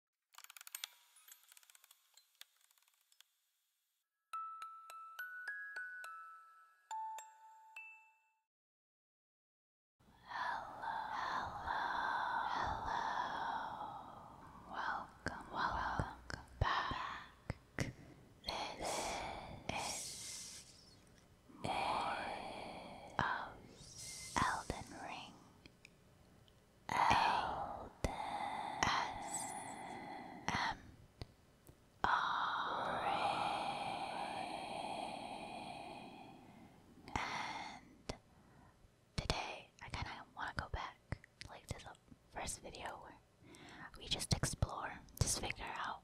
Hello, hello, hello. Welcome, welcome, back. This, is more Elden Ring L -S -M -R and today I kind of want to go back like to the first video where we just explore, just figure out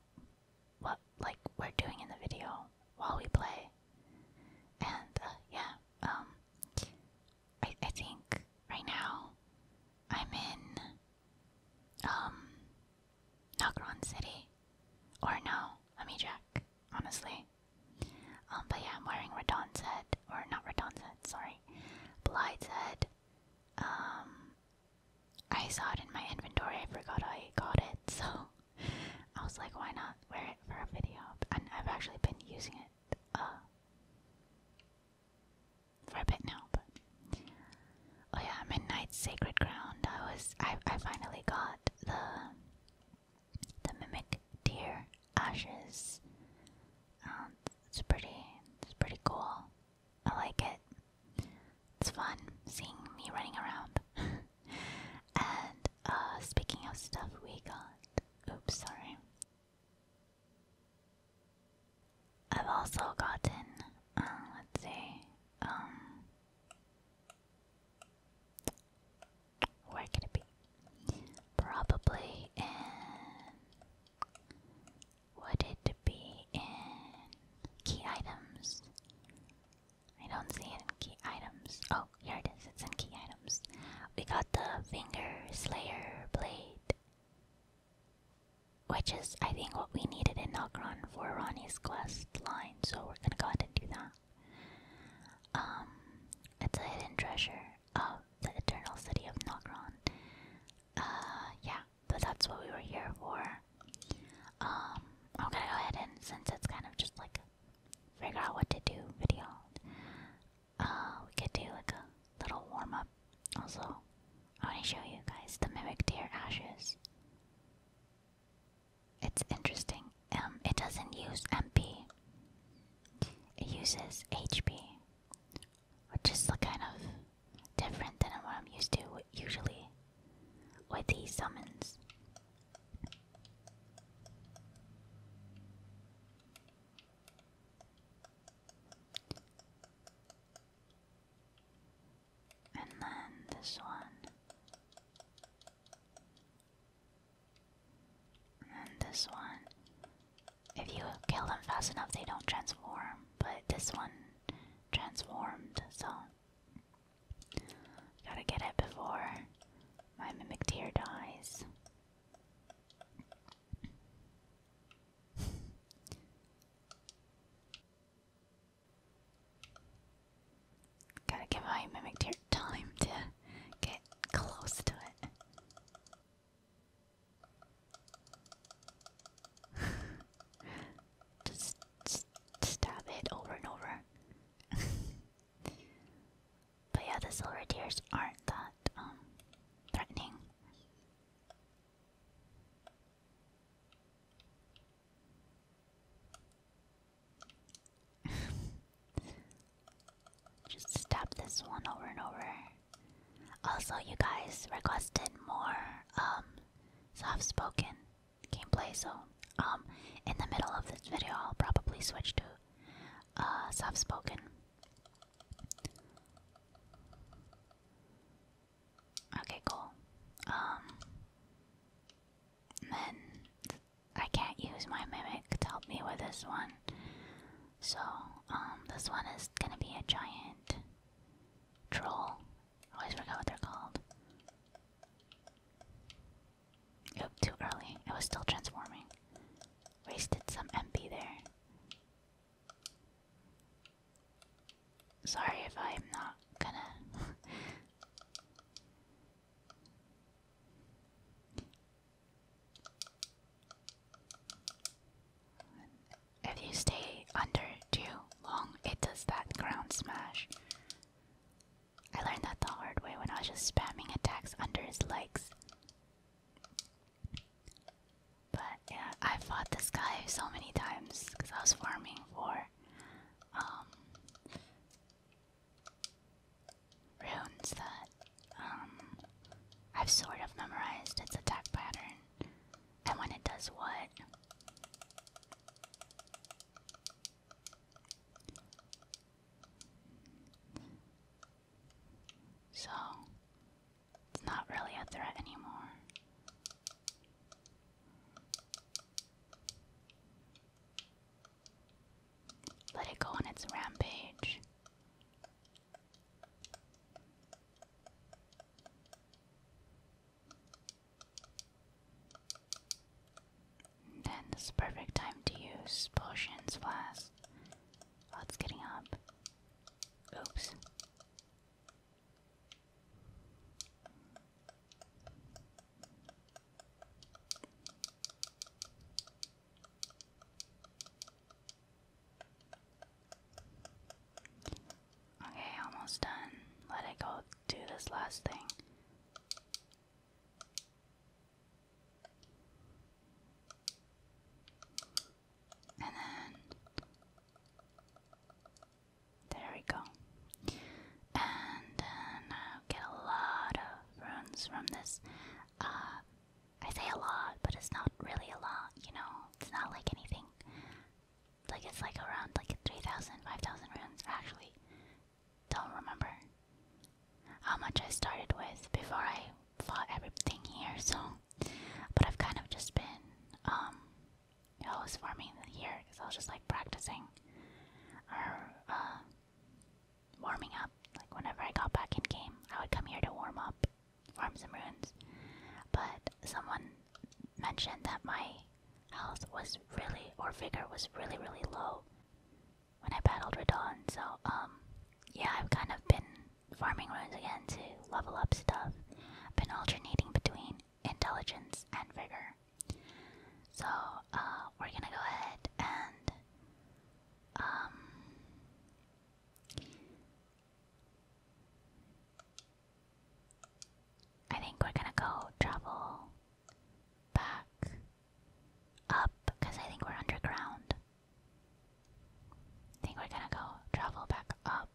what like we're doing in the video while we play, and uh, yeah, um, I, I think right now I'm in um City. Or no, let me check, honestly. Um, but yeah, I'm wearing Radon's head, or not Radon's head, sorry, Blight's head. Um, I saw it in my inventory, I forgot I got it, so I was like, why not wear it for a video? And I've actually been using it uh, for a bit now, but oh yeah, Midnight Sacred Ground. I was I I finally got the the mimic deer ashes. Um, it's pretty. It's pretty cool. I like it. It's fun seeing me running around. and uh, speaking of stuff, we got. Oops, sorry. I've also gotten, uh, let's see, um, where could it be? Probably in. Would it be in key items? I don't see it in key items. Oh, here it is. It's in key items. We got the Finger Slayer Blade. Which is, I think, what we needed in Nokron for Ronnie's quest line, so we're gonna go ahead and do that. Um, it's a hidden treasure of the Eternal City of Nokron. Uh, yeah, but that's what we were here for. Um, I'm gonna go ahead and, since it's kind of just like figure out what to do video, uh, we could do like a little warm up. Also, I want to show you guys the mimic deer ashes. It's interesting. Um, it doesn't use MP. It uses HP, which is kind of different than what I'm used to usually with these summons. And then this one. And this one. If you kill them fast enough, they don't transform. But this one transformed, so. Gotta get it before my Mimic Tear dies. Gotta give my mimic deer time to get close to it. just stab it over and over. But yeah, the silver tears aren't that um threatening. Just stab this one over and over. Also, you guys requested more um soft-spoken gameplay, so um in the middle of this video I'll probably switch to uh soft-spoken Okay, cool. Um, then I can't use my mimic to help me with this one. So, um, this one is gonna be a giant troll. I always forget what they're called. Oop, too early. It was still transforming. Wasted some MP there. Sorry if I'm not gonna. if you stay under too long, it does that ground smash. I learned that the hard way when I was just spamming attacks under his legs. But yeah, I fought this guy so many times because I was farming for um, runes that um, I've sort of memorized its attack pattern and when it does what. So, it's not really a threat anymore. Let it go on its rampage. then this perfect time to use potions flask Oh, it's getting up. Oops. Okay, almost done. Let it go do this last thing. And then there we go. And then uh, get a lot of runes from this. Uh, I say a lot, but it's not really a lot, you know? It's not like anything. Like, it's like around like 3,000, 5,000 actually. Don't remember how much I started with before I for everything here, so but I've kind of just been um always farming here because I was just like practicing or uh, warming up. Like whenever I got back in game, I would come here to warm up, farm some runes. But someone mentioned that my health was really or vigor was really really low when I battled Radon, so um yeah, I've kind of been farming runes again to level up stuff. I've been alternating between intelligence and vigor. So, uh, we're gonna go ahead and, um, I think we're gonna go travel back up because I think we're underground. I think we're gonna go travel back up.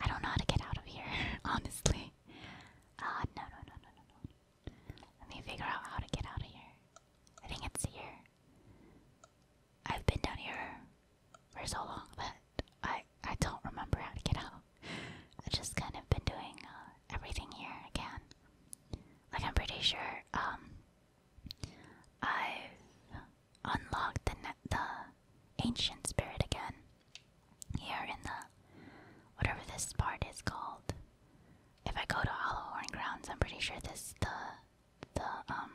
I don't know how to get out of here, honestly. Uh, no, no, no, no, no, no. Let me figure out how to get out of here. I think it's here. I've been down here for so long that I I don't remember how to get out. I've just kind of been doing uh, everything here again. Like I'm pretty sure um, I've unlocked the, the ancient spirit again. Here in the whatever this part is called. If I go to Hollowhorn Grounds, I'm pretty sure this the the um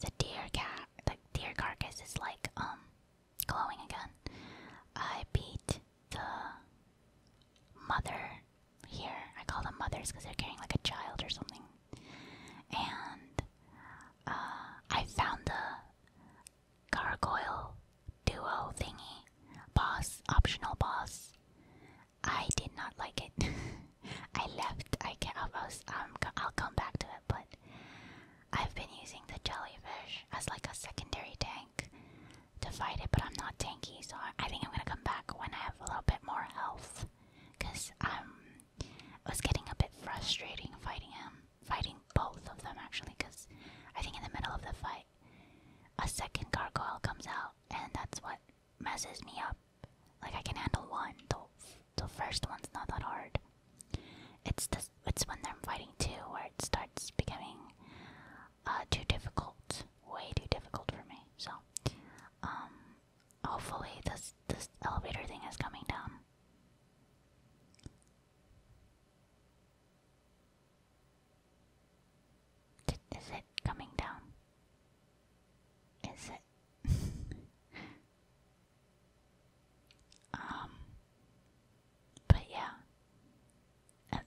the deer cat the deer carcass is like um glowing again. I beat the mother here. I call them mothers because they're carrying like a child or something. And uh, I found the gargoyle duo thingy, boss, optional boss. I did not like it. I left. I can't. I will um, come back to it, but I've been using the jellyfish as like a secondary tank to fight it, but I'm not tanky, so I think I'm gonna come back when I have a little bit more health because um, I was getting a bit frustrating fighting him, fighting both of them actually. Because I think in the middle of the fight, a second gargoyle comes out, and that's what messes me up. Like I can handle one, the, the first one's not that hard. It's this, it's when they're fighting two where it starts becoming uh, too difficult, way too difficult for me. So, um, Hopefully this this elevator thing is coming down. is it coming down? Is it? um. But yeah, I'm,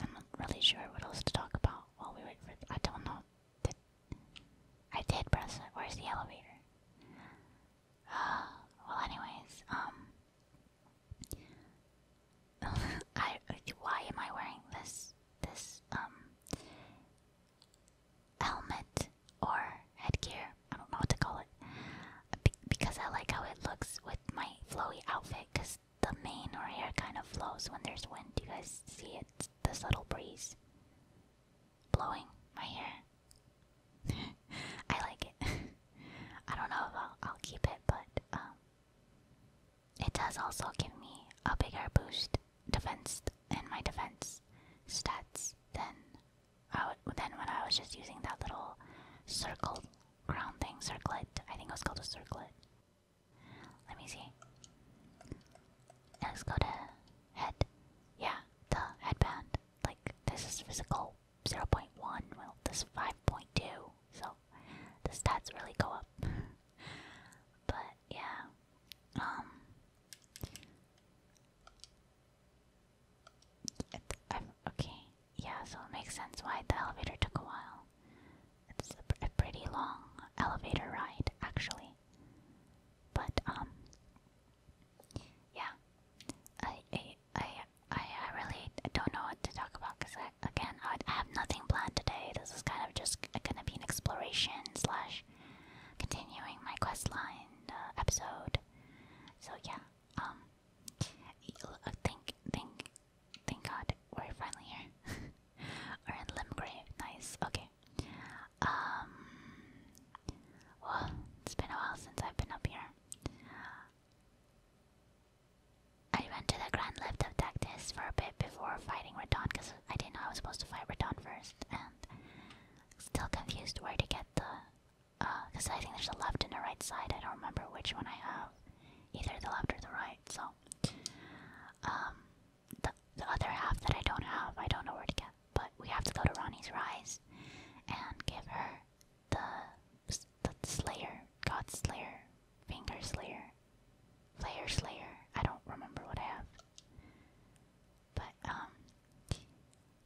I'm not really sure what else to talk about while we wait for. I don't know. I did press Where's the elevator? Uh, well, anyways, um, I why am I wearing this this um helmet or headgear? I don't know what to call it because I like how it looks with my flowy outfit. Cause the mane or hair kind of flows when there's wind. Do you guys see it? This little breeze blowing my hair. I like it. I don't know if I'll, keep it, but um, it does also give me a bigger boost defense in my defense stats than I would then when I was just using that little circle crown thing, circlet. I think it was called a circlet. Let me see. Let's go to head. Yeah, the headband. Like this is physical 0.1. Well, this 5.2. So the stats really go up. but yeah. Um. okay. Yeah. So it makes sense why the elevator took a while. It's a pretty long elevator ride, actually. But um, yeah, I I I I really don't know what to talk about because again I, have nothing planned today. This is kind of just gonna be an exploration slash continuing my questline uh, episode. So yeah, um, uh, thank thank thank God we're finally here. Or in Limgrave, nice. Okay, um. Well, it's been a while since I've been up here. I went to the Grand Lift of Tactis for a bit before fighting Radon because I didn't know I was supposed to fight Radon first, and still confused where to get the. Because uh, I think there's a left and a right side. I don't remember which one I have, either the left or the right. So, um, the, the other half that I don't have. I don't know where to get, but we have to go to Ronnie's Rise and give her the the Slayer, God Slayer, Finger Slayer, Slayer Slayer. I don't remember what I have, but um,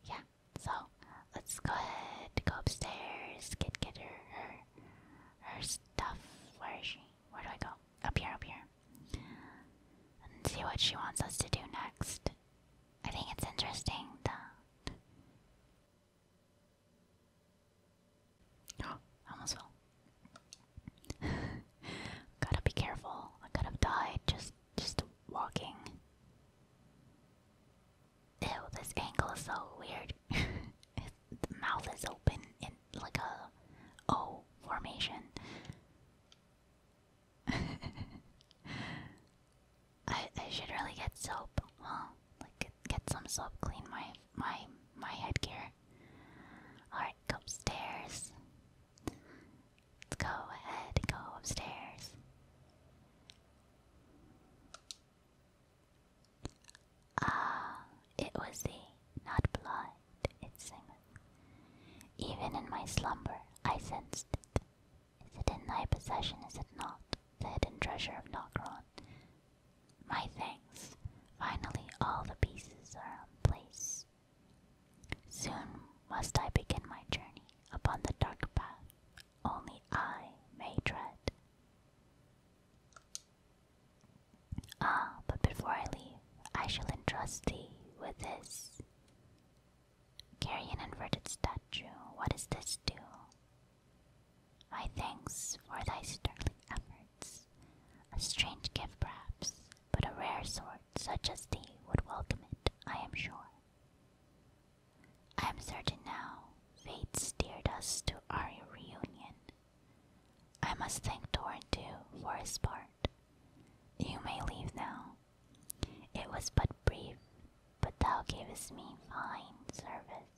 yeah. So let's go ahead, go upstairs, get get her her her stuff. Where is she? Where do I go? Up here, up here. And see what she wants us to do next. I think it's interesting that. Oh, almost fell. gotta be careful. I could have died just just walking. Ew, this angle is so weird. the mouth is open in like a O formation. I should really get soap, huh? Like get, some soap, clean my my my headgear. All right, go upstairs. Let's go ahead go upstairs. Ah, it was the not blood it singeth. Even in my slumber I sensed it. Is it in thy possession, is it not, the hidden treasure of Nokron? My thanks. Finally all the pieces are in place. Soon must I begin my journey upon the dark path only I may tread. Ah, but before I leave, I shall entrust thee with this. Carry an inverted statue. What does this do? My thanks for thy sterling efforts. A strange gift, perhaps, but a rare sort such as thee would welcome it, I am sure. I am certain now fate steered us to our reunion. I must thank Doran for his part. You may leave now. It was but brief, but thou gavest me fine service.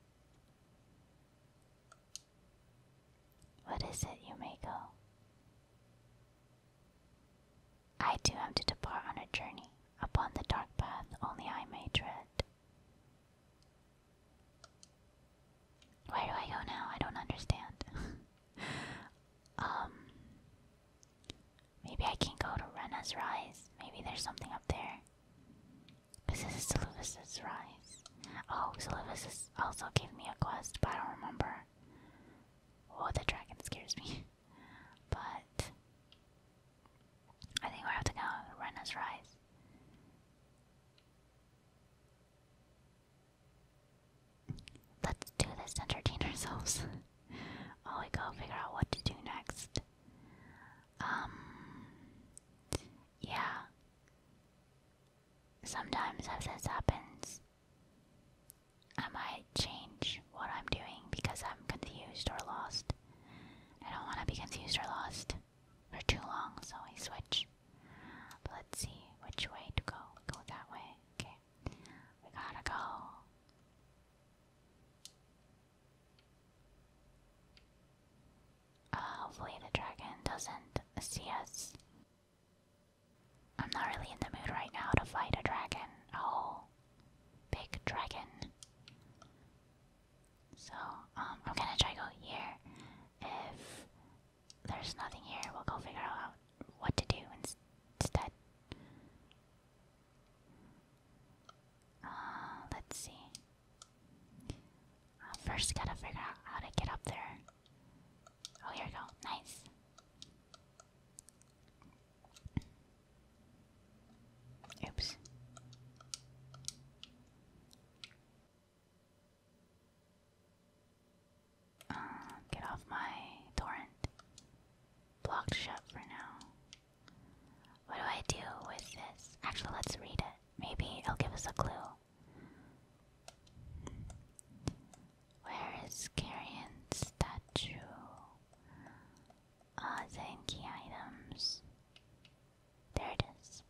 What is it, you may go? I too am to depart on a journey upon the dark path only I may tread. Where do I go now? I don't understand. um, maybe I can go to Rena's Rise. Maybe there's something up there. This is Sylvus' Rise. Oh, Sylvus also gave me a quest, but I don't remember. Oh, the dragon scares me. but I think we have to go to Rena's Rise. Let's do this to entertain ourselves while we go figure out what to do next. Um, yeah. Sometimes if this happens, I might change what I'm doing because I'm confused or lost. I don't want to be confused or lost for too long, so I switch. But let's see which way to go. Go that way. Okay. We gotta go. Uh, hopefully the dragon doesn't see us. I'm not really in the mood right now to fight a dragon. Oh, big dragon. So, um, I'm gonna try go here. If there's nothing here. We'll go figure out what to do instead. Uh, let's see. Uh, first, gotta figure out how to get up there. Oh, here we go. Nice. Oops. Uh, get off my torrent. Blocked shut for now. What do I do with this? Actually, let's read it. Maybe it'll give us a clue. Where is Carrion's statue? uh, ah, then items. There it is.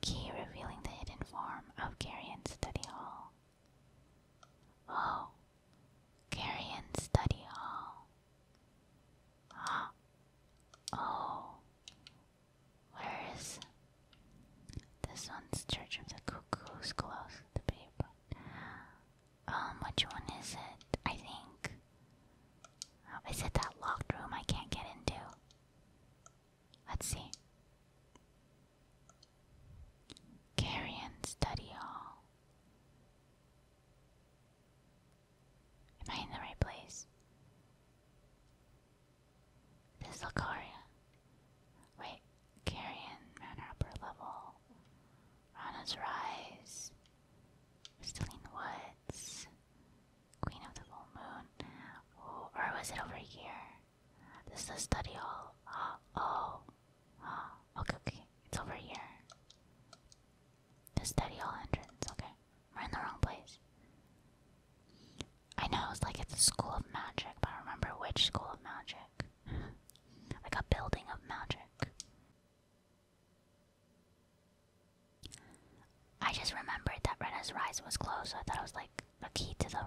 Key revealing the hidden form of Carrion's study hall. Oh, Carrion Study Hall. Huh? Oh, where is this one's Church of the Cuckoo's close to paper? Um, which one is it? I think. Oh, is it that locked room I can't get into? Let's see. Carrion Study Hall. Am I in the right place? This is Lucaria. Wait, Carrion Manor upper level. Rana's Rise. We're still in the woods. Queen of the Full Moon. or was it over here? This is the study hall. Oh. Okay, okay. It's over here. The study hall entrance. Okay. We're in the wrong place. I know it's like it's a school of magic, but remember which school of magic. like a building of magic. I just remembered that Rena's Rise was closed, I thought it was like a key to the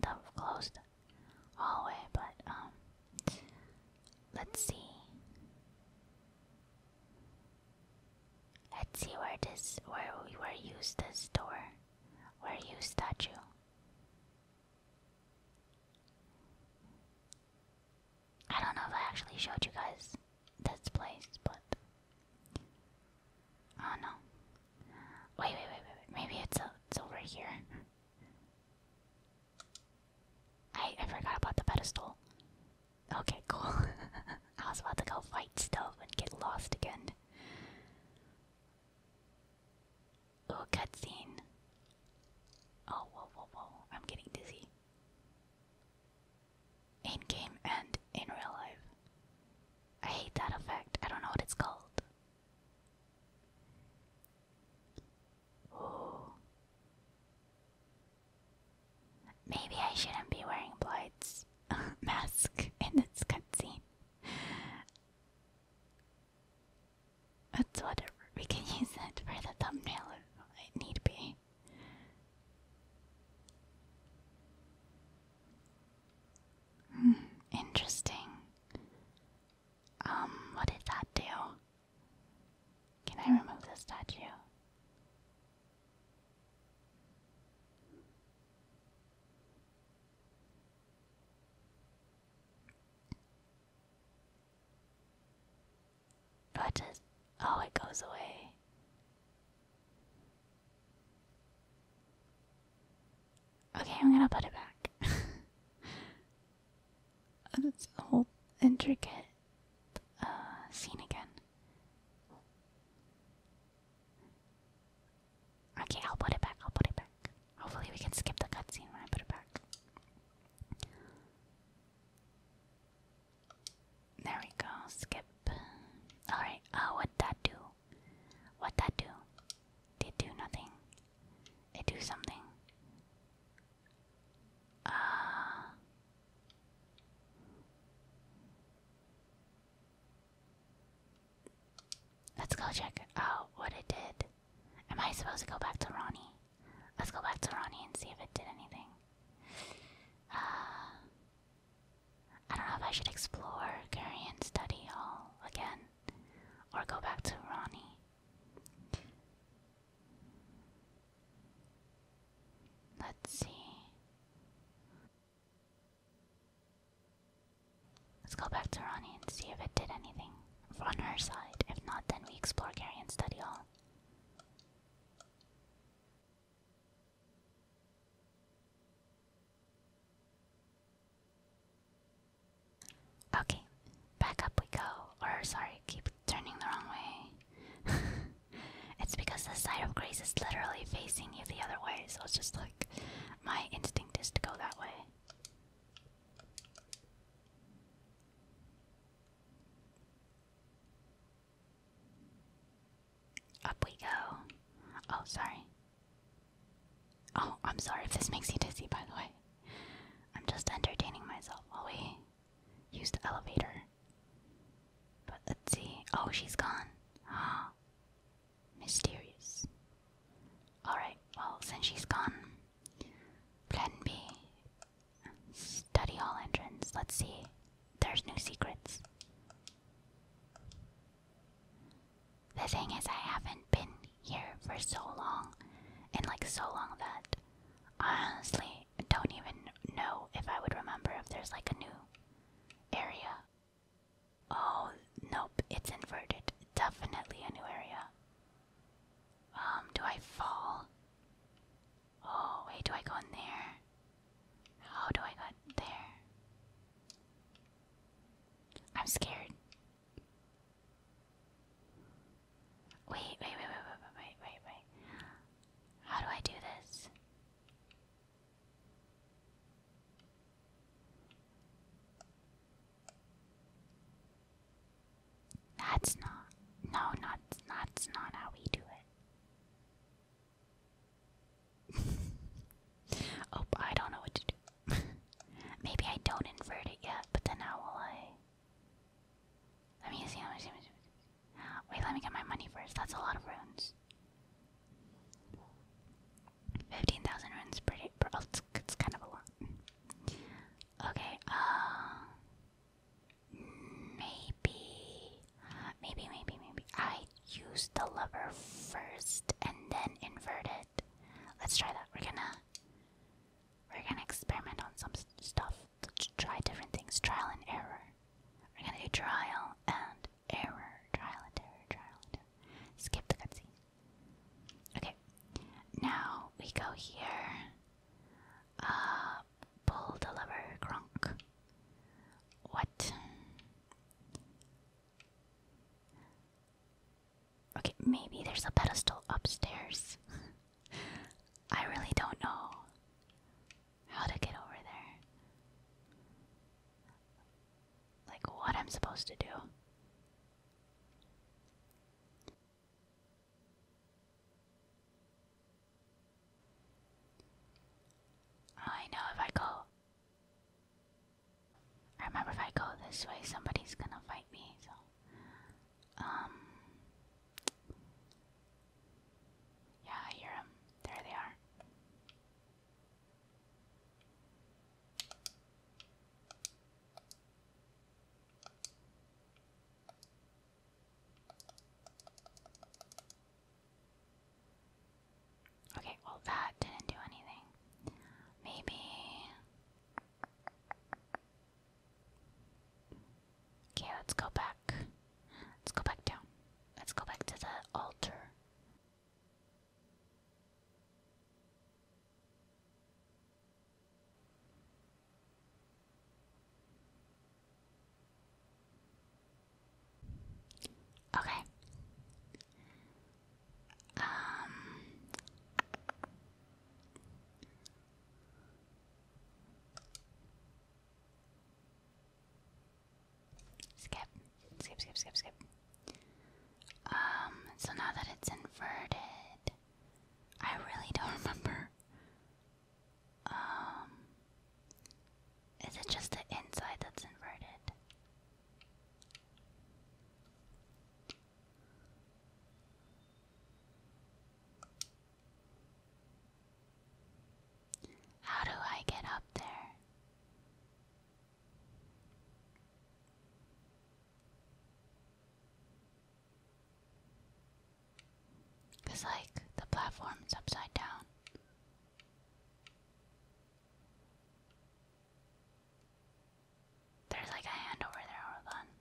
the closed hallway, but um, let's see. Let's see where this where we were used this door. Where you statue. I don't know if I actually showed you guys this place, but oh no. Wait, wait, wait, wait, Maybe it's, uh, it's over here. I, I forgot about the pedestal. Okay, cool. I was about to go fight stuff and get lost again. Ooh, cutscene. Oh, whoa, whoa, whoa. I'm getting dizzy. In game and in real life. I hate that effect. I don't know what it's called. Maybe I shouldn't be wearing Blight's mask in this cutscene. That's whatever. We can use it for the thumbnail if need be. Hmm, interesting. Um, what did that do? Can I remove the statue? What does. Oh, it goes away. Okay, I'm gonna put it back. It's a whole intricate uh, scene again. Okay, I'll put it back. I'll put it back. Hopefully, we can skip the cutscene when I put it back. There we go. Skip. All right. Uh, what that do? What that do? Did do nothing. I do something. Uh, let's go check out what it did. Am I supposed to go back to Ronnie? Let's go back to Ronnie and see if it did anything. Uh, I don't know if I should explore Gary and study all again, or go back to Ronnie. Let's see. Let's go back to Ronnie and see if it did anything on her side. If not, then we explore Gary and study all. Okay, back up we go. Or sorry, keep turning the wrong way. it's because the side of grace is literally facing you the other way, so it's just like my instinct is to go that way. Up we go. Oh, sorry. Oh, I'm sorry if this makes you dizzy, by the way. I'm just entertaining myself while we use the elevator. But let's see. Oh, she's gone. Ah, mysterious. Alright, well, since she's gone, plan B. Study hall entrance. Let's see. There's no secrets. The thing is, I haven't been here for so long, and like so long that I honestly don't even know if I would remember if there's like a new area. Oh, nope, it's inverted. Definitely a new area. Um, do I fall? Oh, wait, do I go in there? How do I get there? I'm scared. Wait, wait, wait, wait, wait, wait, wait, wait. How do I do this? That's not. No, not that's not how we do it. oh, I don't know what to do. Maybe I don't invert it yet, but then how will I? Let me see. Let me see. Let me see. Wait, let me get my money first. That's a lot of runes. Fifteen thousand runes. Pretty. Oh, it's, it's kind of a lot. Okay. Uh. Maybe. Maybe. Maybe. Maybe. I used the lever first and then inverted. Let's try that. We're gonna we're gonna experiment on some stuff. Let's try different things. Trial and error. We're gonna do trial and error. Trial and error. Trial and error. Skip the cutscene. Okay. Now we go here. Uh, pull the lever, Gronk. What? Okay, maybe there's a pedestal upstairs. I really don't know how to get over there. Like, what I'm supposed to do. I know if I go. I remember if I go this way, somebody's gonna fight me, um. Yeah, I hear them. There they are. Okay, well, that didn't do anything. Maybe. Okay, let's go back. Let's go back down. Let's go back to the altar. Okay. Um Skip, skip, skip, skip, skip. Um, so now that it's inverted, I really don't remember. Um, is it just the inside that's inverted? How do I get up there? Cause like the platform's upside down. There's like a hand over there, hold on.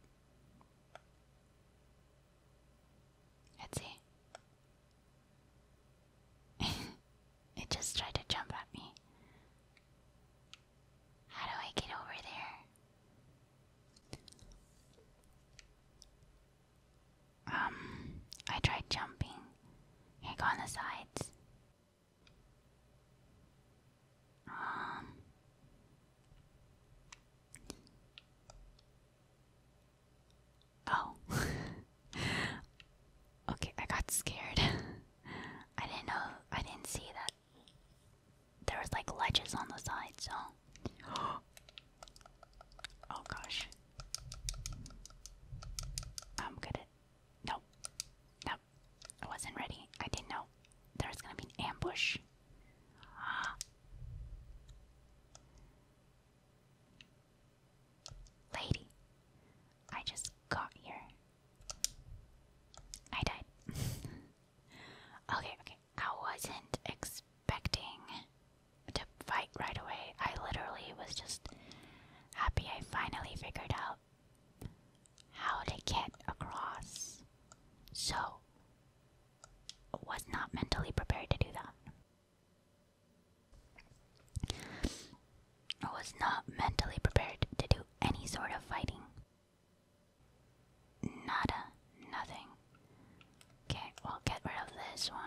Let's see. it just tried to jump at me. How do I get over there? Um, I tried jumping. Here, go on the sides. Um, oh. okay, I got scared. I didn't know, I didn't see that there was like ledges on the side, so. oh gosh. I'm good at. Nope. Nope. I wasn't ready. I didn't know there was gonna be an ambush. Lady, I just got here. I died. okay, okay. I wasn't expecting to fight right away. I literally was just happy I finally figured out how to get across. So, was not mentally prepared to do that. was not mentally prepared to do any sort of fighting. Nada. Nothing. Okay, we get rid of this one.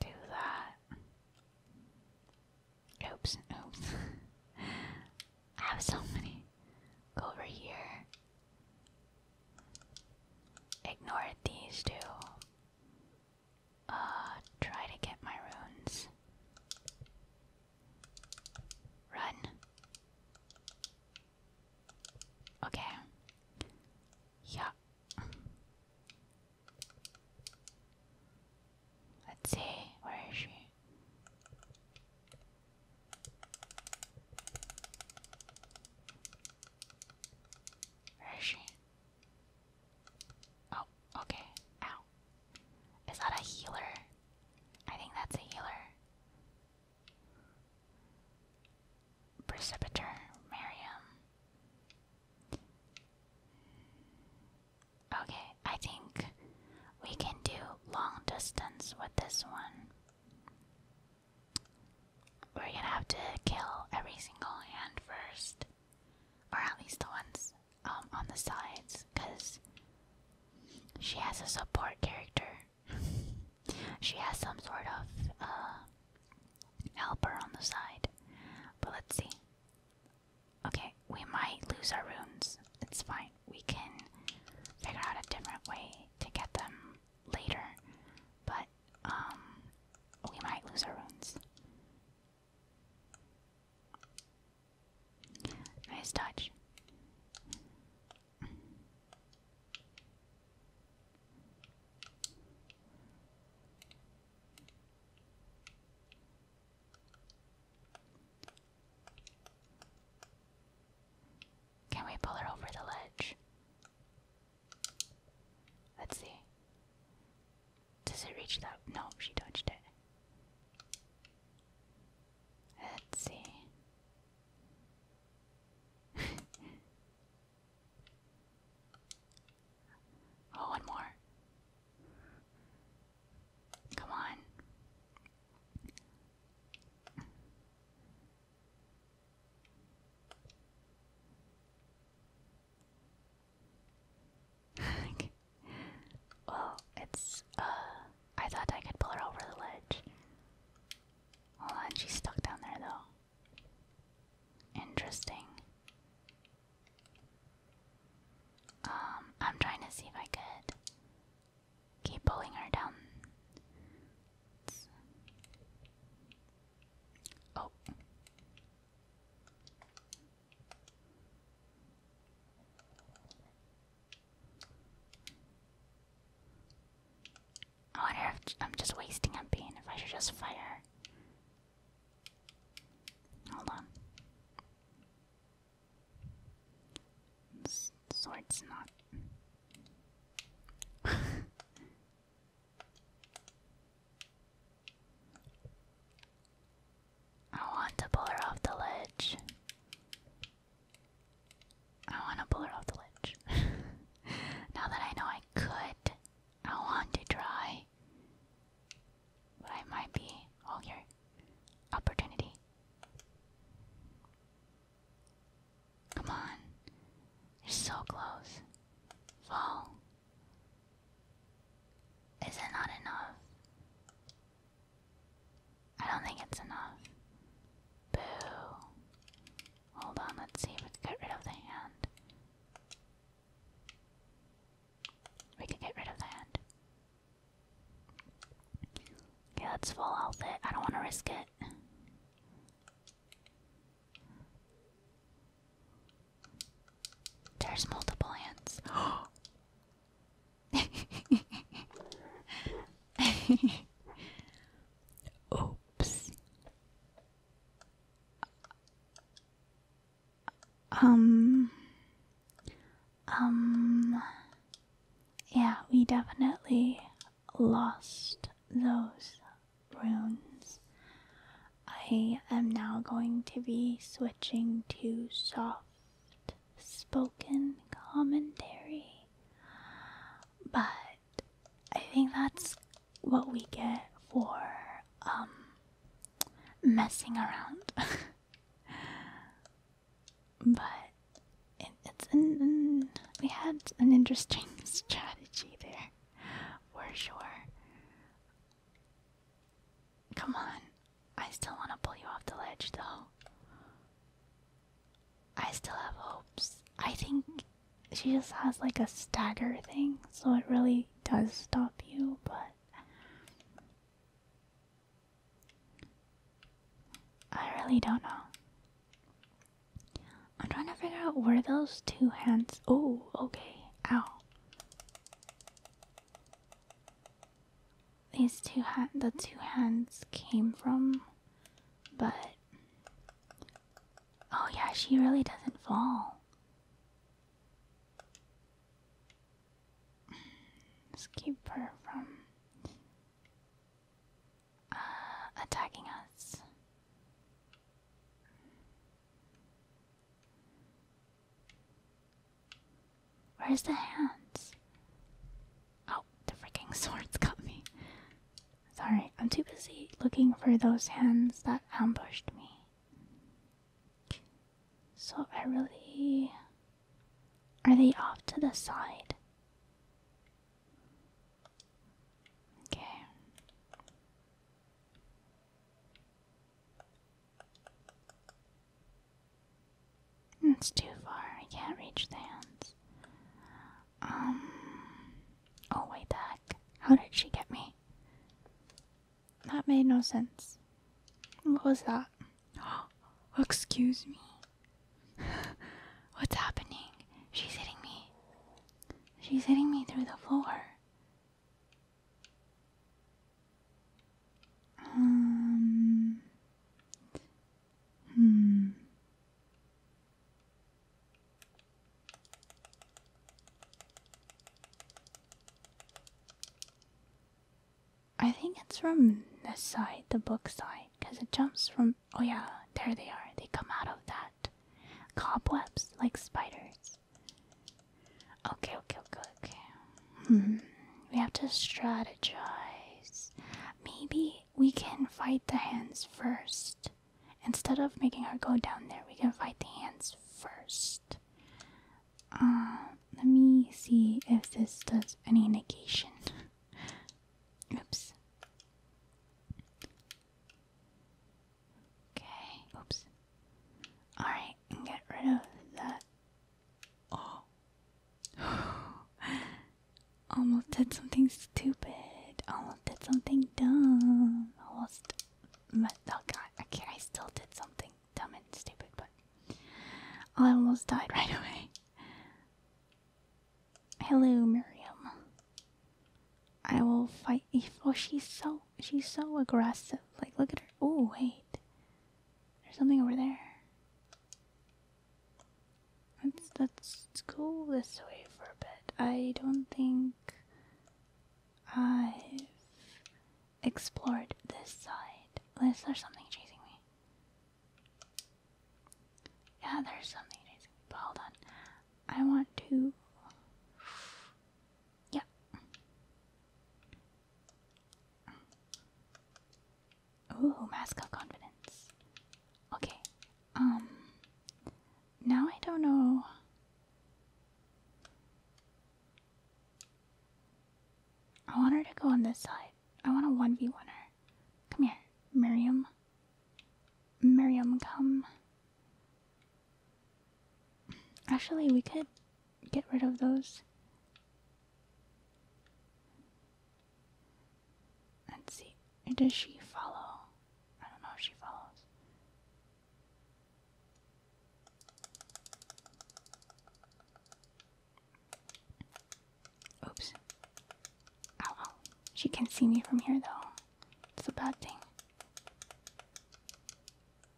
Do that. Oops, oops. I have so many. Go over here. Ignore these two. Uh, try to get my runes. Run. Okay. Yeah. Let's see, where is she? Where is she? Oh, okay. Is that a healer? I think that's a healer. Precipiter, Miriam. Okay, I think we can do long distance with this one. We're gonna have to kill every single hand first, or at least the ones um, on the sides, because she has a support character. she has some sort of uh, helper on the side. But let's see. Okay, we might lose our runes. It's fine. We can figure out a different way to get them later. But, um, we might lose our runes. Nice touch. Can we pull her over the ledge? Let's see. Does it reach that? No, she touched it. Let's see. oh, one more. Come on. okay. Well, it's uh I thought I could pull her over the ledge. Hold on, she's stuck down there though. Interesting. Um, I'm trying to see if I could keep pulling her down. Oh. I wonder if I'm just wasting MP and if I should just fire. Hold on. sword's not. I want to pull her off the ledge. I want to pull her off the ledge. now that I know I could, I want to try. But I might be all oh, your opportunity. Come on. You're so close. Fall. Is it not enough? I don't think it's enough. Boo. Hold on, let's see if we can get rid of the hand. We can get rid of the hand. Okay, let's full health it. I don't want to risk it. There's multiple hands. Oops. Um, um, yeah, we definitely lost those runes. I am now going to be switching to soft spoken commentary. But I think that's what we get for um, messing around. but it's an, we had an interesting strategy there, We're sure. Come on, I still want to pull you off the ledge though. I still have hopes. I think she just has like a stagger thing, so it really does stop you, but I really don't know. I'm trying to figure out where those two hands. Oh, okay. Ow these two ha the two hands came from, but oh yeah, she really doesn't fall. let her from uh, attacking us. Where's the hands? Oh, the freaking swords got me. Sorry, I'm too busy looking for those hands that ambushed me. So I really. Are they off to the side? Okay. It's too far. I can't reach the hands. Um. Oh, wait, the How did she get me? That made no sense. What was that? excuse me. What's happening? She's hitting me. She's hitting me through the floor. Um. Hmm. I think it's from the side, the book side, because it jumps from. Oh, yeah, there they are. They come out of that. Cobwebs, like spiders. Okay, okay, okay, okay. Hmm. We have to strategize. Maybe we can fight the hands first. Instead of making her go down there, we can fight the hands first. Uh, let me see if this does any negation. oops. Okay, oops. Alright, and get rid of that. Oh, Almost said something stupid. Almost said something dumb. Almost. But, oh god, okay, I still did something dumb and stupid, but. I almost died right away. Hello, Miriam. I will fight if oh she's so she's so aggressive. Like look at her oh wait. There's something over there. Let's, let's go this way for a bit. I don't think I've explored this side. Unless there's something chasing me. Yeah, there's something chasing but hold on. I want to. Yeah. Ooh, mascot confidence. Okay. Um. Now I don't know. I want her to go on this side. I want a 1v1 her. Come here, Miriam. Miriam, come. Actually, we could get rid of those. Let's see. Does she follow? I don't know if she follows. Oops. Ow, oh, She can see me from here though. It's a bad thing.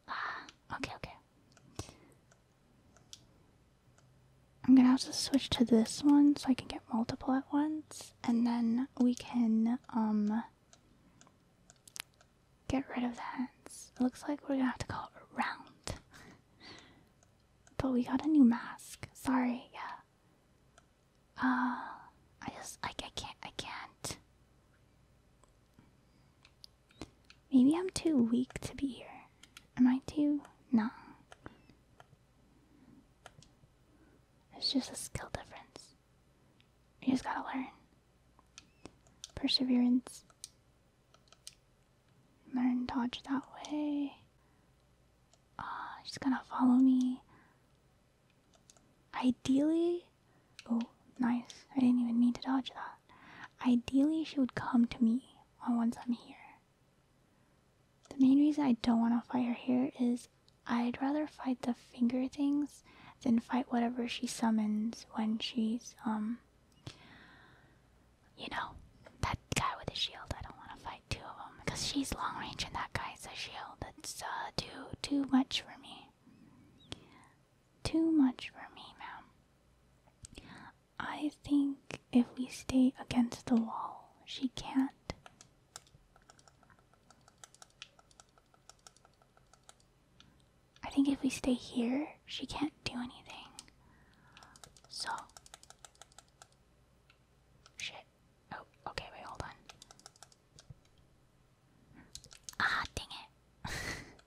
Ah, okay, okay. I'm gonna have to switch to this one so I can get multiple at once, and then we can um get rid of the hands. It looks like we're gonna have to call it round. but we got a new mask. Sorry, yeah. Uh I just I, I can't I can't. Maybe I'm too weak to be here. Am I too? No. It's just a skill difference. You just gotta learn. Perseverance. Learn dodge that way. Uh, she's gonna follow me. Ideally, oh, nice. I didn't even need to dodge that. Ideally, she would come to me once I'm here. The main reason I don't want to fight her here is I'd rather fight the finger things than fight whatever she summons when she's, um, you know, that guy with the shield. I don't want to fight two of them because she's long range and that guy's a shield. That's uh, too, too much for me. Too much for me, ma'am. I think if we stay against the wall, she can't I think if we stay here, she can't do anything. So. Shit. Oh, okay, wait, hold on. Ah, dang it.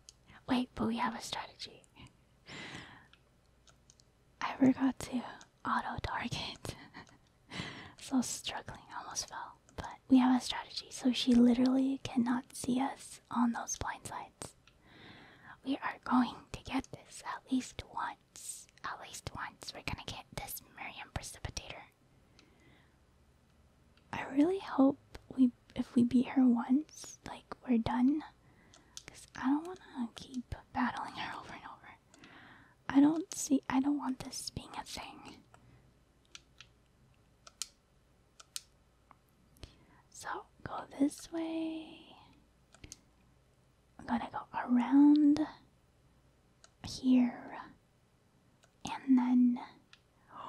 wait, but we have a strategy. I forgot to auto target. so struggling, almost fell. But we have a strategy, so she literally cannot see us on those blind sides. We are going to get this at least once. At least once, we're gonna get this Miriam Precipitator. I really hope we, if we beat her once, like we're done, because I don't wanna keep battling her over and over. I don't see. I don't want this being a thing. So go this way. I'm gonna go around here, and then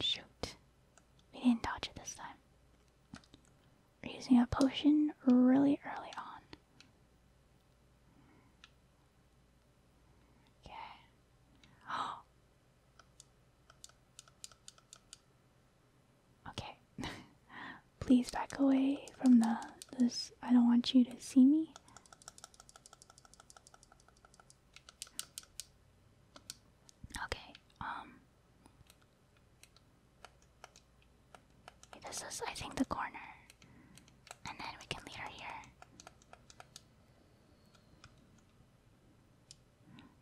shoot, we didn't dodge it this time. We're using a potion really early on. Okay. Oh. Okay. Please back away from the this. I don't want you to see me. Okay. Um this is, I think, the corner. And then we can lead her here.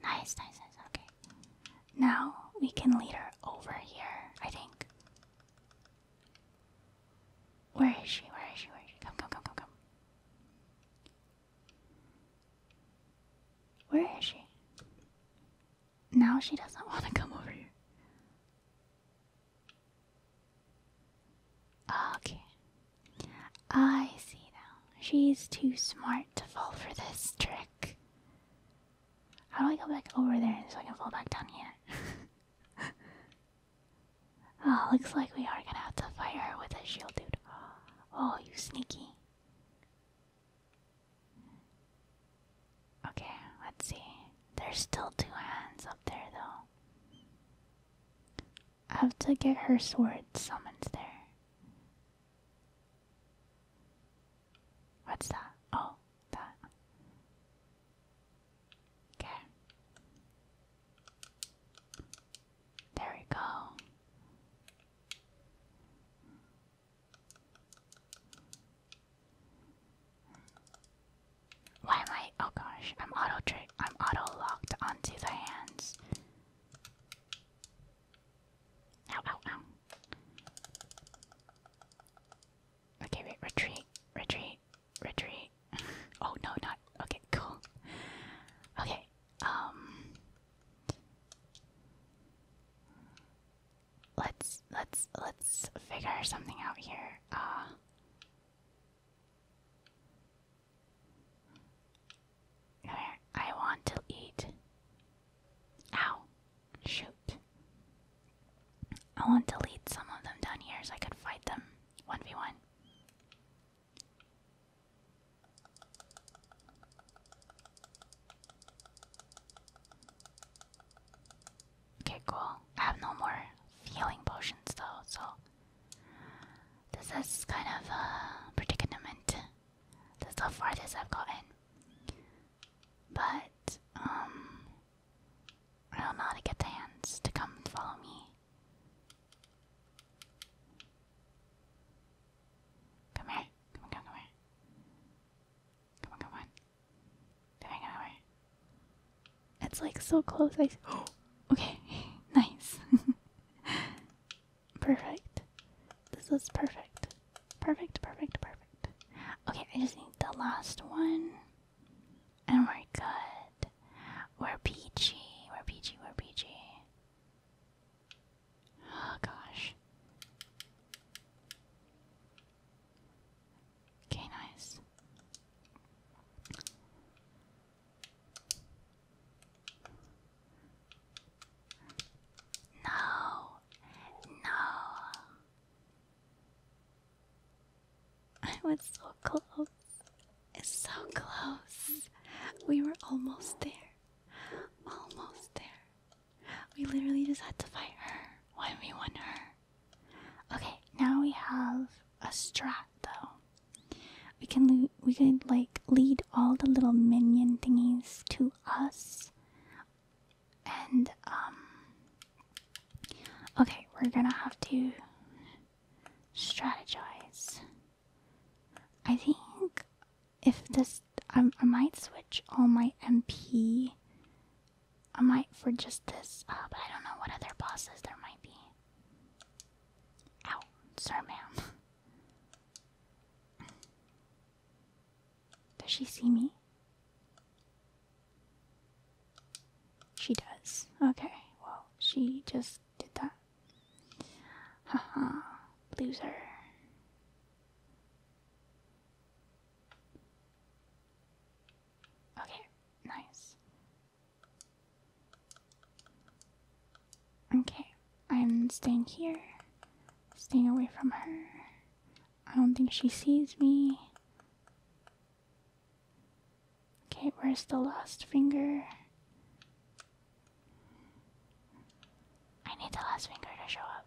Nice, nice, nice. Okay. Now we can lead her over here, I think. Where is she? Where is she? Where is she? Come, come, come, come, come. Where is she? Now she doesn't want to come over here. Okay. I see now. She's too smart to fall for this trick. How do I go back over there so I can fall back down here? oh, looks like we are gonna have to fire her with a shield, dude. Oh, you sneaky. Okay, let's see. There's still two hands up there, though. I have to get her sword summoned there. What's that? Oh, that. Okay. There we go. Why am I? Oh gosh, I'm auto trick. I'm auto locked onto the hands. Ow, ow, ow. Okay, wait, retreat, retreat, retreat. oh no, not. Okay, cool. Okay, um let's let's let's figure something out here. Uh, I want to eat. Ow. Shoot. I want to lead some of them down here so I could fight them 1v1. Okay, cool. I have no more healing potions though, so this is kind of a uh, predicament. This is far this I've gotten. But um I will not get the hands to come follow me. Come here, come on, come here. Come on, come on. They're hanging out. It's like so close. I okay, nice. perfect. This is perfect. Perfect, perfect, perfect. Okay, I just need the last one. And we're good. We're peachy. We're peachy. We're peachy. Oh gosh. Okay, nice. No, no. I was so close. It's so close. We were almost there. Almost there. We literally just had to fight her. Why we won her? Okay, now we have a strat though. We can we could like lead all the little minion thingies to us. And um Okay, we're gonna have to strategize. I think if this, um, I might switch all my MP I might for just this, uh, but I don't know what other bosses there might be. Ow, sorry, ma'am. Does she see me? She does. Okay, well, she just did that. Haha, loser. Okay, nice. Okay, I'm staying here, staying away from her. I don't think she sees me. Okay, where's the last finger? I need the last finger to show up.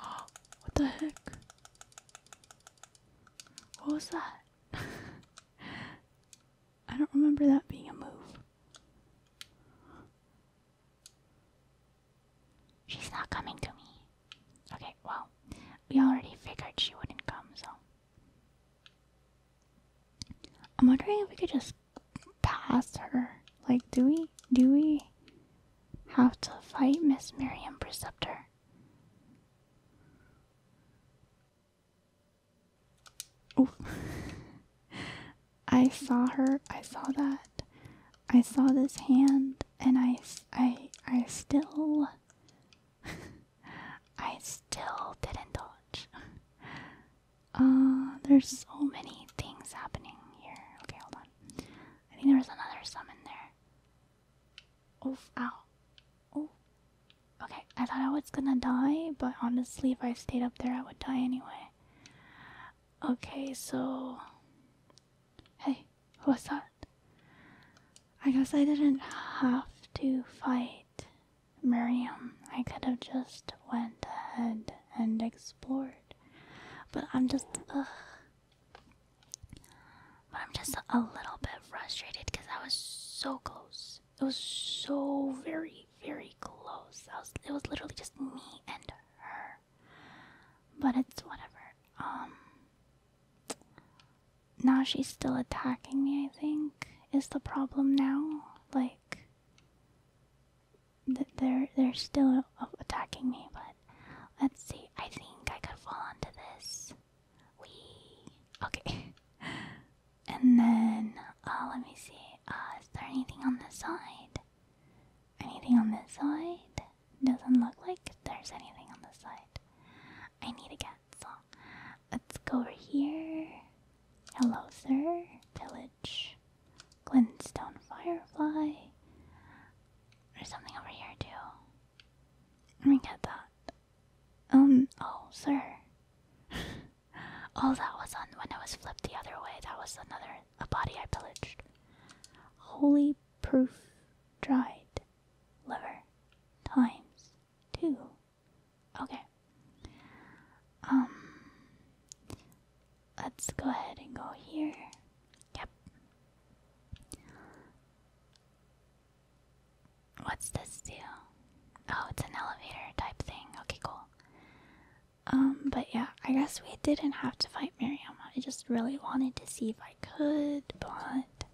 Oh, what the heck? What was that? I don't remember that being a move. She's not coming to me. Okay, well, we already figured she wouldn't come, so. I'm wondering if we could just pass her. Like, do we? Do we? how to fight Miss Miriam Preceptor. Oof. I saw her, I saw that. I saw this hand and I I I still I still didn't dodge. Uh there's so many things happening here. Okay, hold on. I think there was another summon there. Oof, ow. Oh. Okay, I thought I was gonna die, but honestly, if I stayed up there, I would die anyway. Okay, so. Hey, what's that? I guess I didn't have to fight Miriam. I could have just went ahead and explored. But I'm just, ugh. But I'm just a little bit frustrated because I was so close. It was so very, very close. it was literally just me and her. But it's whatever. Um. Now she's still attacking me, I think. Is the problem now? Like. Th they're, they're still attacking me, but let's see. I think I could fall onto this. We okay. and then uh, let me see. Uh, is there anything on this side? Anything on this side? Doesn't look like there's anything on this side. I need a cat, so let's go over here. Hello, sir. Village, Glintstone Firefly. There's something over here too. Let me get that. Um, oh, sir. oh, that was on when I was flipped the other way. That was another a body I pillaged. Holy proof dried liver times two. Okay. Um, let's go ahead and go here. Yep, What's this do? Oh, it's an elevator type thing. Okay, cool. Um, but yeah, I guess we didn't have to fight Miriam. I just really wanted to see if I could, but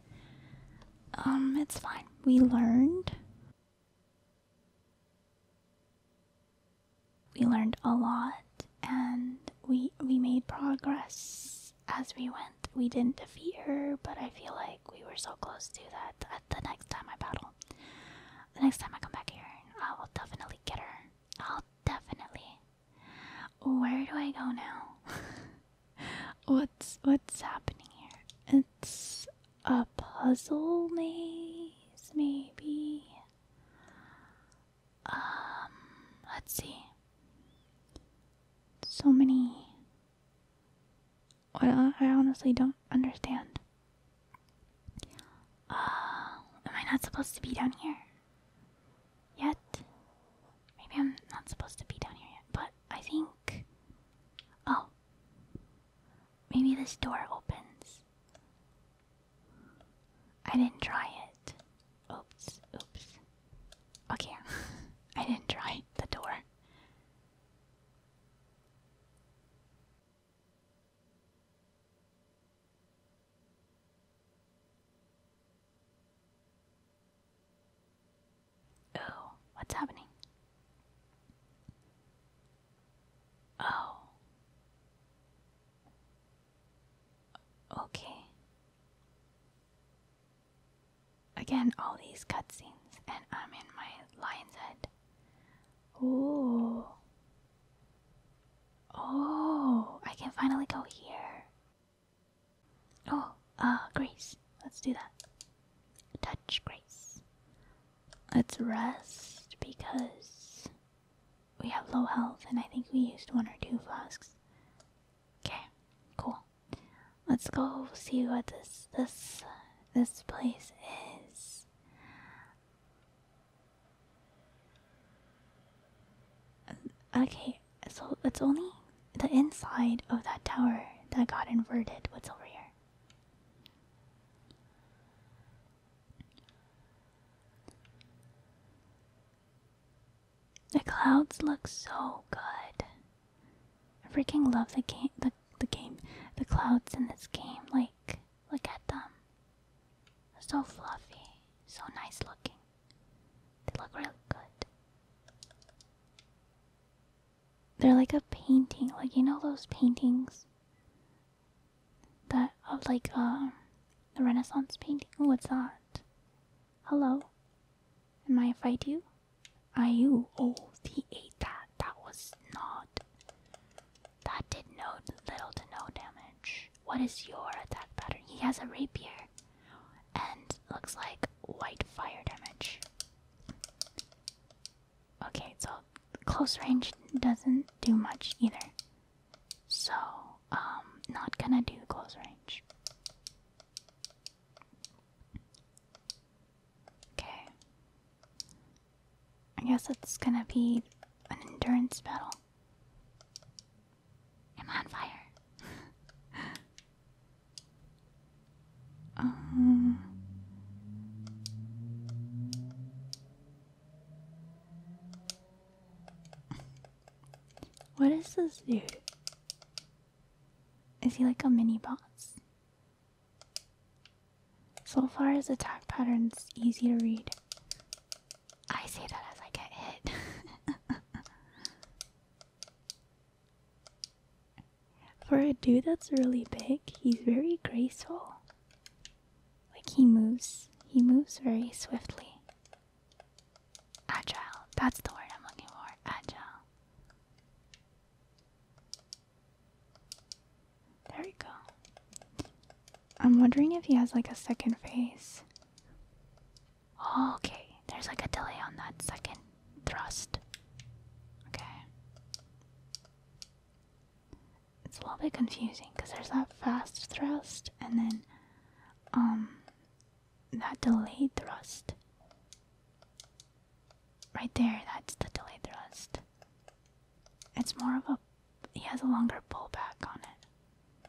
um, it's fine. We learned. We learned a lot and we we made progress as we went. We didn't defeat her, but I feel like we were so close to that. At the next time I battle, the next time I come back here, I will definitely get her. I'll definitely. Where do I go now? what's what's happening here? It's a puzzle maze, maybe. Um, let's see. So many. Well, I honestly don't understand. Uh, am I not supposed to be down here? Yet? Maybe I'm not supposed to be down here yet, but I think. Oh. Maybe this door opens. I didn't try it. Oops, oops. Okay, I didn't try the door. Oh, what's happening? Oh. Okay. Again, all these cutscenes, and I'm in my lion's head. Ooh. Oh, I can finally go here. Oh, uh, Grace. Let's do that. Touch Grace. Let's rest because we have low health, and I think we used one or two flasks. Okay, cool. Let's go see what this this this place is. Okay, so it's only the inside of that tower that got inverted. What's over here? The clouds look so good. I freaking love the game. The the game. The clouds in this game. Like, look at them. so fluffy. So nice looking. They look really good. They're like a painting. Like you know those paintings that of like um the Renaissance painting. What's that? Hello? Am I fight you? Are you? Oh, he ate that. That was not. That did no little to no damage. What is your attack pattern? He has a rapier, and looks like white fire damage. Okay, so close range doesn't do much either. So, um, not gonna do close range. Okay. I guess it's gonna be an endurance battle. I'm on fire. um. What is this dude? Is he like a mini boss? So far, his attack pattern's easy to read. I say that as I get hit. For a dude that's really big, he's very graceful. Like he moves, he moves very swiftly. Agile. That's the word I'm looking for. Agile. There we go. I'm wondering if he has like a second phase. Oh, okay, there's like a delay on that second thrust. Okay. It's a little bit confusing because there's that fast thrust and then um that delayed thrust. Right there, that's the delayed thrust. It's more of a. He has a longer pullback on it.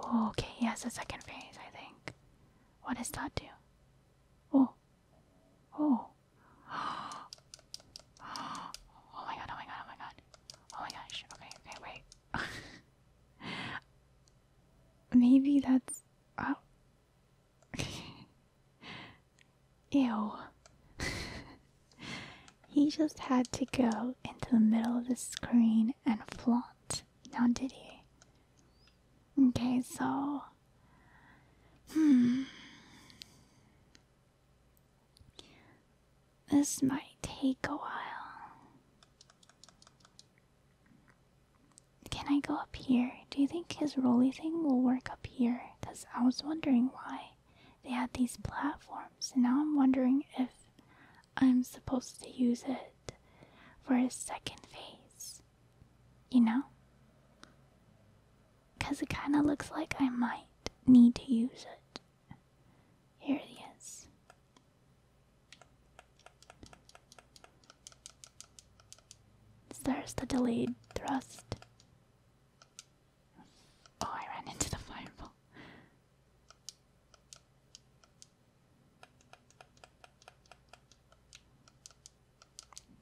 Oh, okay, he has a second phase, I think. What does that do? Oh. Oh. Oh my god, oh my god, oh my god. Oh my gosh. Okay, okay, wait. Maybe that's. Oh. Ew. he just had to go into the middle of the screen and flaunt. Now, did he? Okay, so. Hmm. This might take a while. Can I go up here? Do you think his roly thing will work up here? Because I was wondering why they had these platforms, and now I'm wondering if I'm supposed to use it for his second phase. You know? Because it kind of looks like I might need to use it. Here it is. is. There's the delayed thrust. Oh, I ran into the fireball.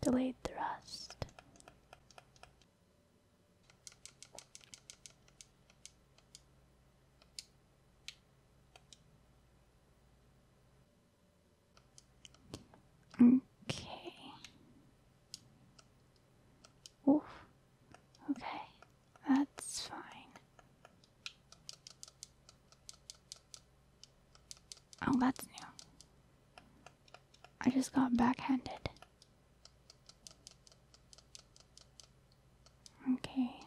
Delayed thrust. Okay. Oof. Okay, that's fine. Oh, that's new. I just got backhanded. Okay.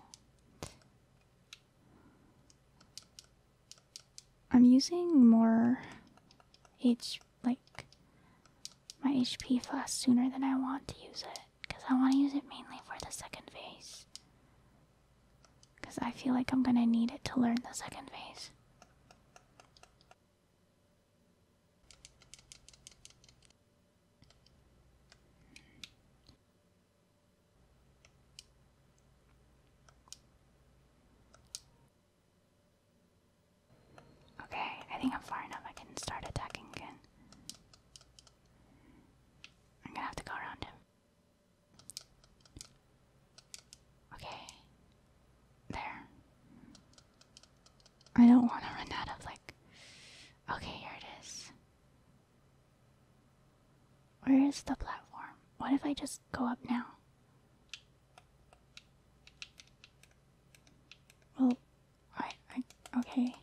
I'm using more H like my HP fast sooner than I want to use it because I want to use it mainly for the second phase. Because I feel like I'm gonna need it to learn the second phase. Okay, I think I'm far enough. I can start attacking again. I'm gonna have to go around him. Okay. There. I don't want to run out of like. Okay, here it is. Where is the platform? What if I just go up now? Well, I, I, okay.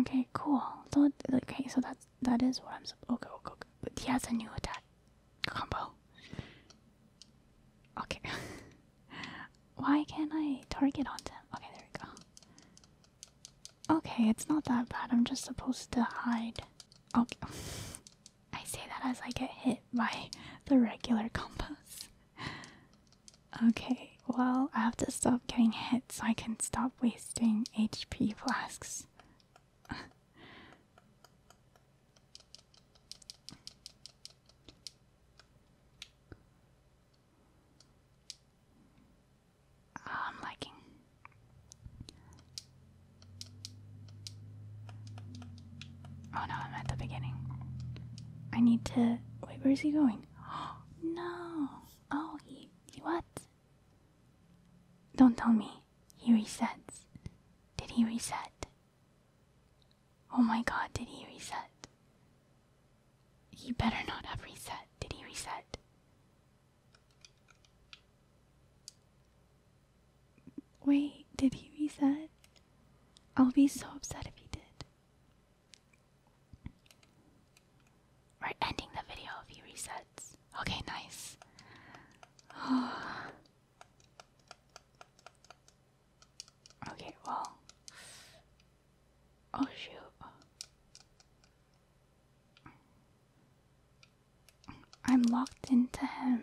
Okay, cool. So, okay, so that's that is what I'm. Okay, okay, okay. But he has a new attack combo. Okay. Why can't I target on them? Okay, there we go. Okay, it's not that bad. I'm just supposed to hide. Okay. I say that as I get hit by the regular compass. Okay, well, I have to stop getting hit so I can stop wasting HP flasks. Oh, I'm liking. Oh no, I'm at the beginning. I need to. Wait, where's he going? Oh, no. Oh, He what? Don't tell me. He resets. Did he reset? Oh my god, did he reset? He better not have reset. Did he reset? Wait, did he reset? I'll be so upset if he did. We're ending the video if he resets. Okay, nice. Okay, well. Oh shoot. I'm locked into him.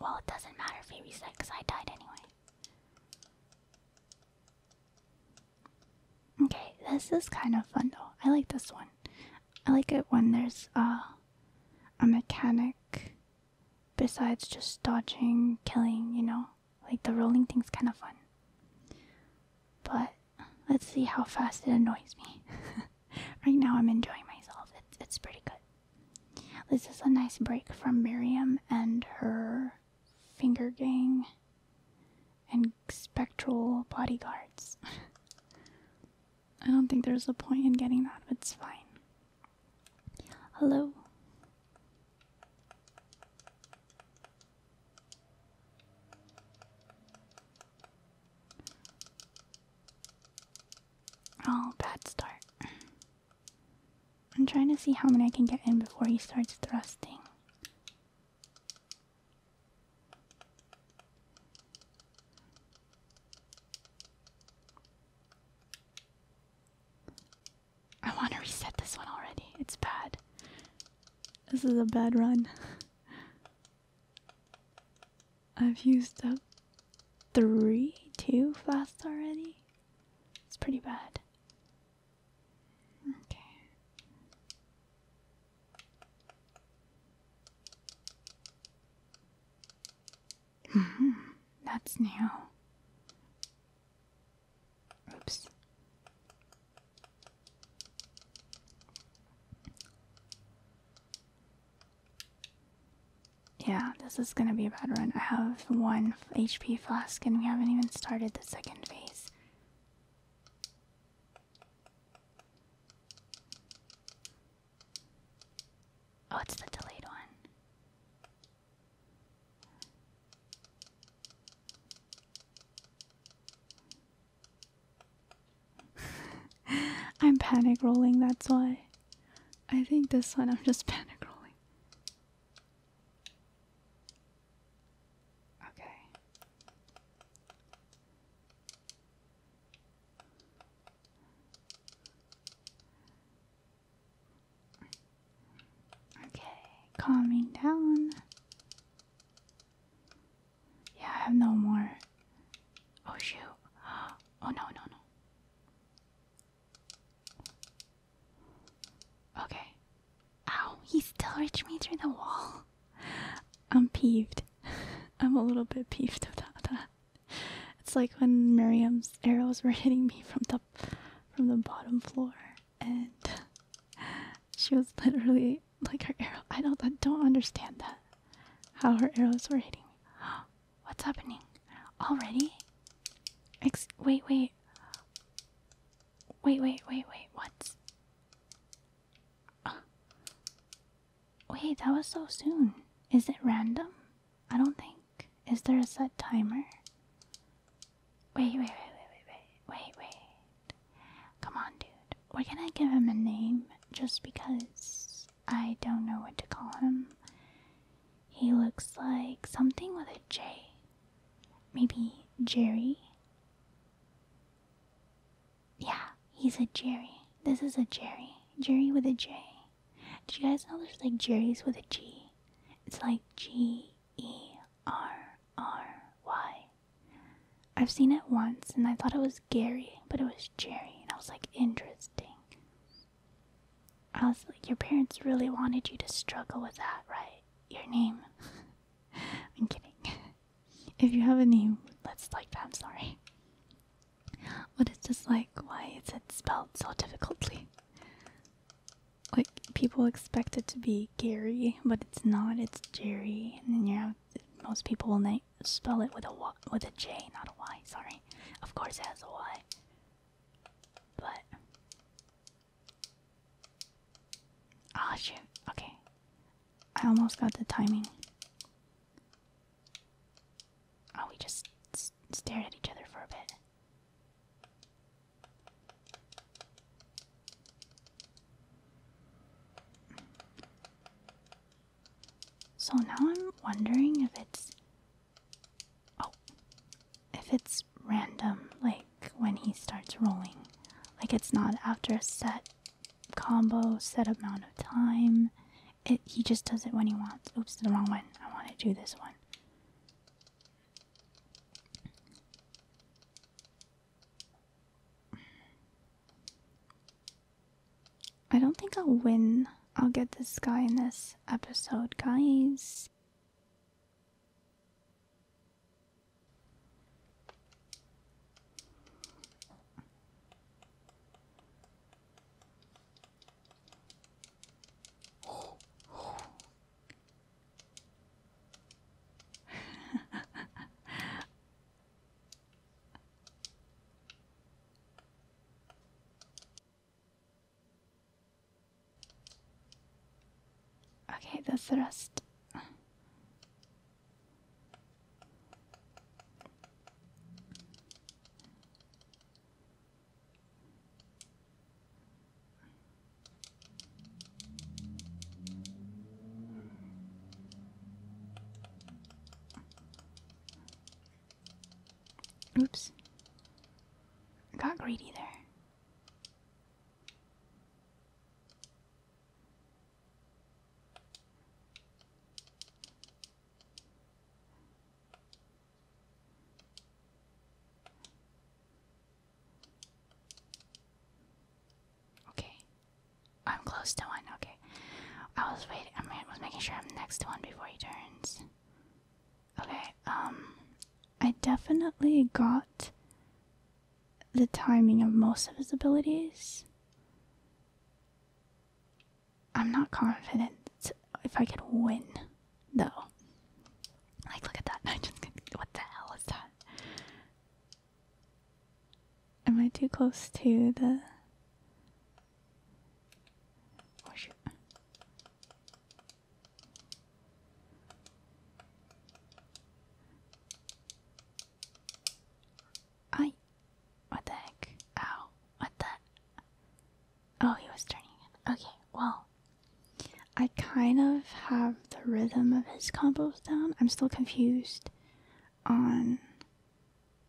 Well, it doesn't matter if he reset because I died anyway. Okay, this is kind of fun though. I like this one. I like it when there's uh, a mechanic besides just dodging, killing, you know? Like the rolling thing's kind of fun. But let's see how fast it annoys me. right now I'm enjoying myself. It's, it's pretty good. This is a nice break from Miriam and her finger gang and spectral bodyguards. I don't think there's a point in getting that, but it's fine. Hello. Oh, bad start. I'm trying to see how many I can get in before he starts thrusting. I want to reset this one already. It's bad. This is a bad run. I've used up three, two flasks already. It's pretty bad. Okay. Hmm, that's new. Oops. Yeah, this is gonna be a bad run. I have one HP flask and we haven't even started the second phase. Oh, it's the delayed one. I'm panic rolling, that's why. I think this one I'm just panic rolling. Okay. Okay, calming down. Yeah, I have no more. Oh shoot. Oh no, no, no. Okay. Ow, he still reached me through the wall. I'm peeved. I'm a little bit peeved about that. It's like when Miriam's arrows were hitting me from the from the bottom floor, and she was literally like her arrow. I don't I don't understand that. How her arrows were hitting me. What's happening? Already? wait, wait. Wait, wait, wait, wait. What? Wait, that was so soon. Is it random? I don't think. Is there a set timer? Wait, wait, wait, wait, wait, wait, wait, wait. Come on, dude. We're gonna give him a name just because I don't know what to call him. He looks like something with a J. Maybe Jerry? Yeah, he's a Jerry. This is a Jerry. Jerry with a J. Did you guys know there's like Jerry's with a G? It's like G E R R Y. I've seen it once and I thought it was Gary, but it was Jerry, and I was like, interesting. I was like, your parents really wanted you to struggle with that, right? Your name. I'm kidding. if you have a name, let's like that, I'm sorry. What is this like? Why is it spelled so difficultly? Like people expect it to be Gary, but it's not. It's Jerry, and then you have most people will na spell it with a with a J, not a Y. Sorry, of course it has a Y, but ah oh, shoot. Okay, I almost got the timing. Oh, we just stared at each other for a bit. So now I'm wondering if it's oh if it's random like when he starts rolling like it's not after a set combo set amount of time. It, he just does it when he wants. Oops, the wrong one. I want to do this one. I don't think I'll win. I'll get this guy in this episode, guys okay, that's the rest. Oops. Got greedy there. Okay. I'm close to one, okay. I was waiting I was making sure I'm next to one before he turns. Okay, um I definitely got the timing of most of his abilities. I'm not confident if I could win, though. Like, look at that. what the hell is that? Am I too close to the? Oh, I what the heck? Ow. What the? Oh, he was turning Okay, well. I kind of have the rhythm of his combos down. I'm still confused on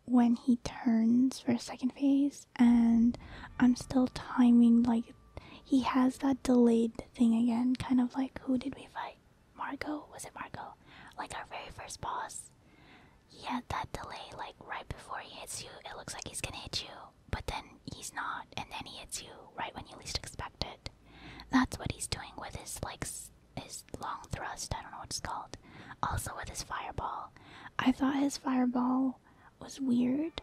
when he turns for a second phase, and I'm still timing like he has that delayed thing again, kind of like who did we fight? Margot? Was it Margot? Like our very first boss he had that delay like right before he hits you it looks like he's gonna hit you but then he's not and then he hits you right when you least expect it that's what he's doing with his like his long thrust i don't know what it's called also with his fireball i thought his fireball was weird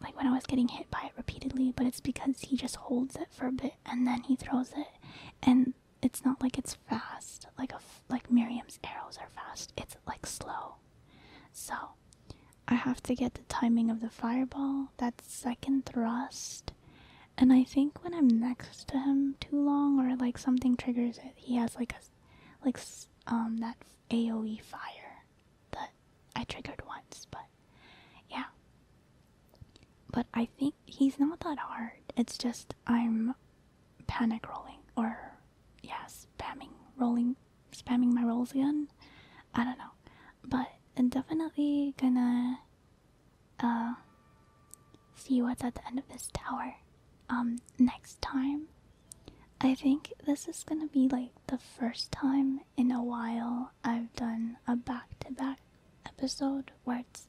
like when i was getting hit by it repeatedly but it's because he just holds it for a bit and then he throws it and it's not like it's fast, like a f like Miriam's arrows are fast. It's like slow. So I have to get the timing of the fireball, that second thrust, and I think when I'm next to him too long or like something triggers it, he has like a like um that AOE fire that I triggered once, but yeah. But I think he's not that hard. It's just I'm panic rolling or yes, spamming rolling spamming my rolls again i don't know but definitely gonna uh see what's at the end of this tower um next time i think this is gonna be like the first time in a while i've done a back to -back episode where it's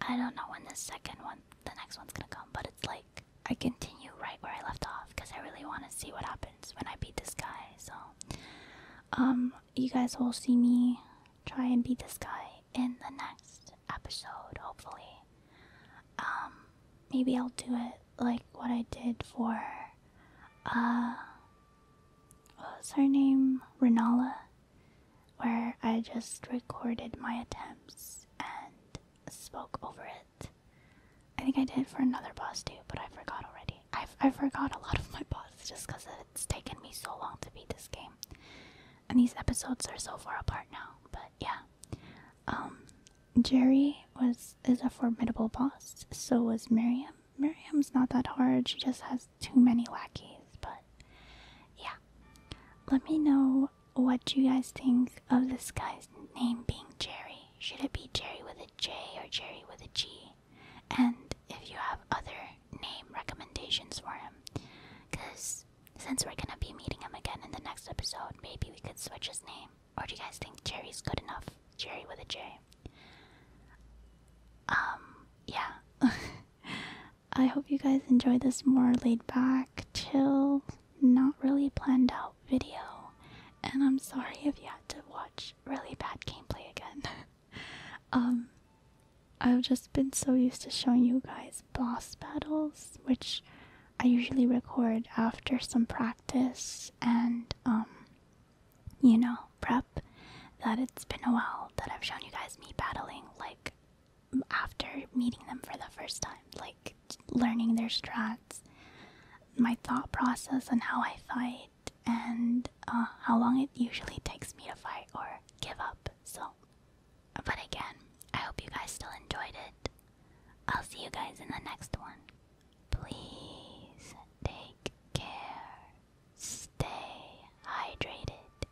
I don't know when the second one, the next one's gonna come, but it's like I continue right where I left off because I really want to see what happens when I beat this guy. So, um, you guys will see me try and beat this guy in the next episode, hopefully. Um, maybe I'll do it like what I did for, uh, what was her name? Renala, where I just recorded my attempts and spoke over it. I think I did for another boss too, but I forgot already. I've, I forgot a lot of my bosses just because it's taken me so long to beat this game. And these episodes are so far apart now, but yeah. Um, Jerry was is a formidable boss, so was Miriam. Miriam's not that hard, she just has too many lackeys, but yeah. Let me know what do you guys think of this guy's name being Jerry? Should it be Jerry with a J or Jerry with a G? And if you have other name recommendations for him, because since we're gonna be meeting him again in the next episode, maybe we could switch his name. Or do you guys think Jerry's good enough? Jerry with a J. Um, yeah. I hope you guys enjoy this more laid back, chill not really planned out video, and I'm sorry if you had to watch really bad gameplay again. um, I've just been so used to showing you guys boss battles, which I usually record after some practice and, um, you know, prep, that it's been a while that I've shown you guys me battling like after meeting them for the first time, like learning their strats, my thought process and how I fight, and uh, how long it usually takes me to fight or give up. So, but again, I hope you guys still enjoyed it. I'll see you guys in the next one. Please take care, stay hydrated,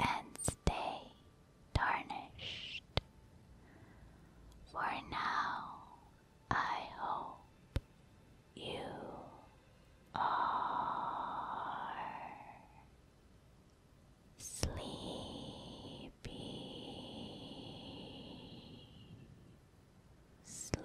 and stay tarnished. For now, I hope you are sleepy, sleepy.